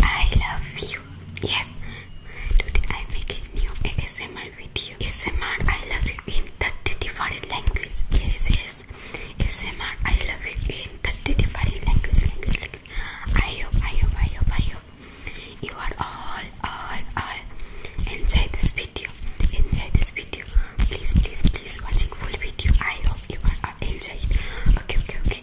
I love you. Yes. Today I make a new ASMR video. ASMR I love you in the different languages. Yes, yes. ASMR I love you in the different languages. language, language. I hope, I hope, I You are all, all, all. Enjoy this video. Enjoy this video. Please, please, please watching full video. I hope you are all enjoying. Okay, okay, okay.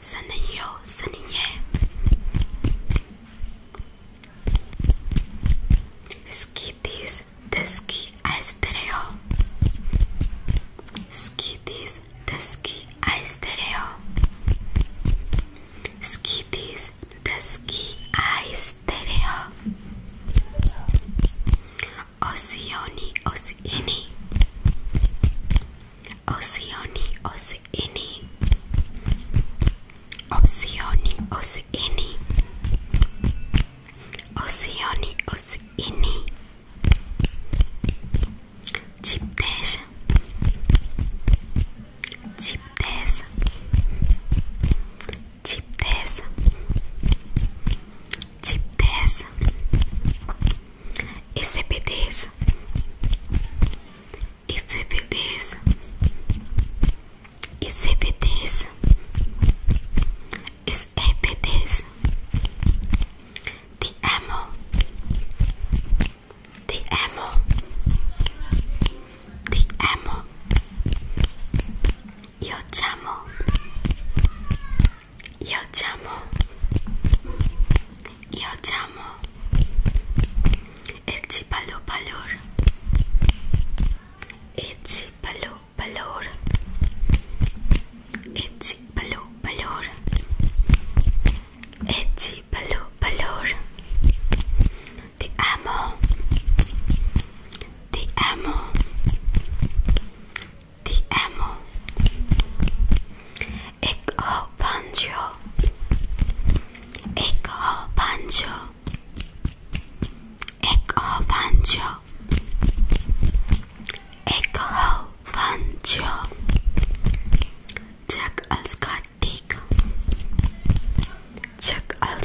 saniyo, saniye. Skitis, deski, aestereo. Skitis, deski, aestereo. Skitis, deski, aestereo. Oceani, Oceani, Oceani, Oceani, Oceani, Oceani, Oceani, Oceani, Chipteja, Chipteja, Chipteja, Chipteja. SCPDs, SCPDs, SCPDs, SCPDs, the ammo, the ammo, the ammo, your chamo. Io ti amo. Io ti amo. Eci palo palor. Eci palo palor. Eci palo palor. Eci palo palor. Ti amo. Ti amo the ammo. Ik hou van jou. Ik hou van jou. Ik hou van jou. Ik hou van jou. Jack als kattig. Jack als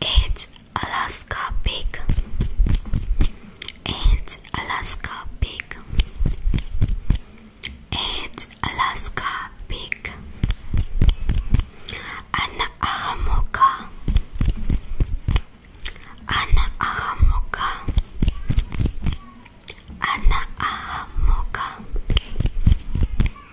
It's Alaska pig. It's Alaska pig. It's Alaska pig. An ahamoka. An ahamoka. An ahamoka. An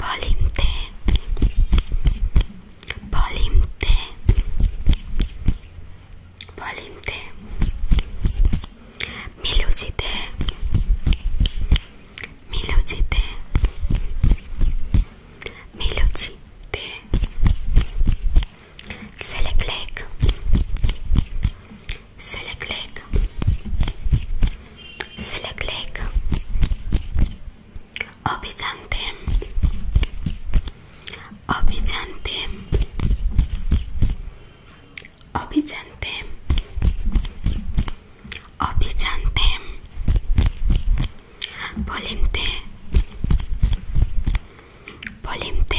Polimte Polimte Polimte Milujite Milujite Milujite Selek Select Select leg. Obediente. Obediente. Obediente. Obediente. Polente. Polente.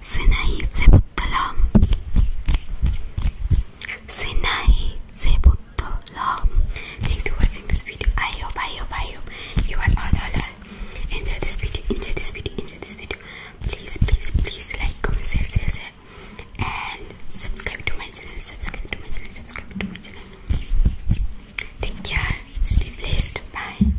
Sinai Sebutala Sinai Sebutala Thank you for watching this video. I hope, I you are all, all, Enjoy this video, enjoy this video, enjoy this video. Please, please, please like, comment, share, share, share. And subscribe to my channel, subscribe to my channel, subscribe to my channel. Take care, stay blessed, bye.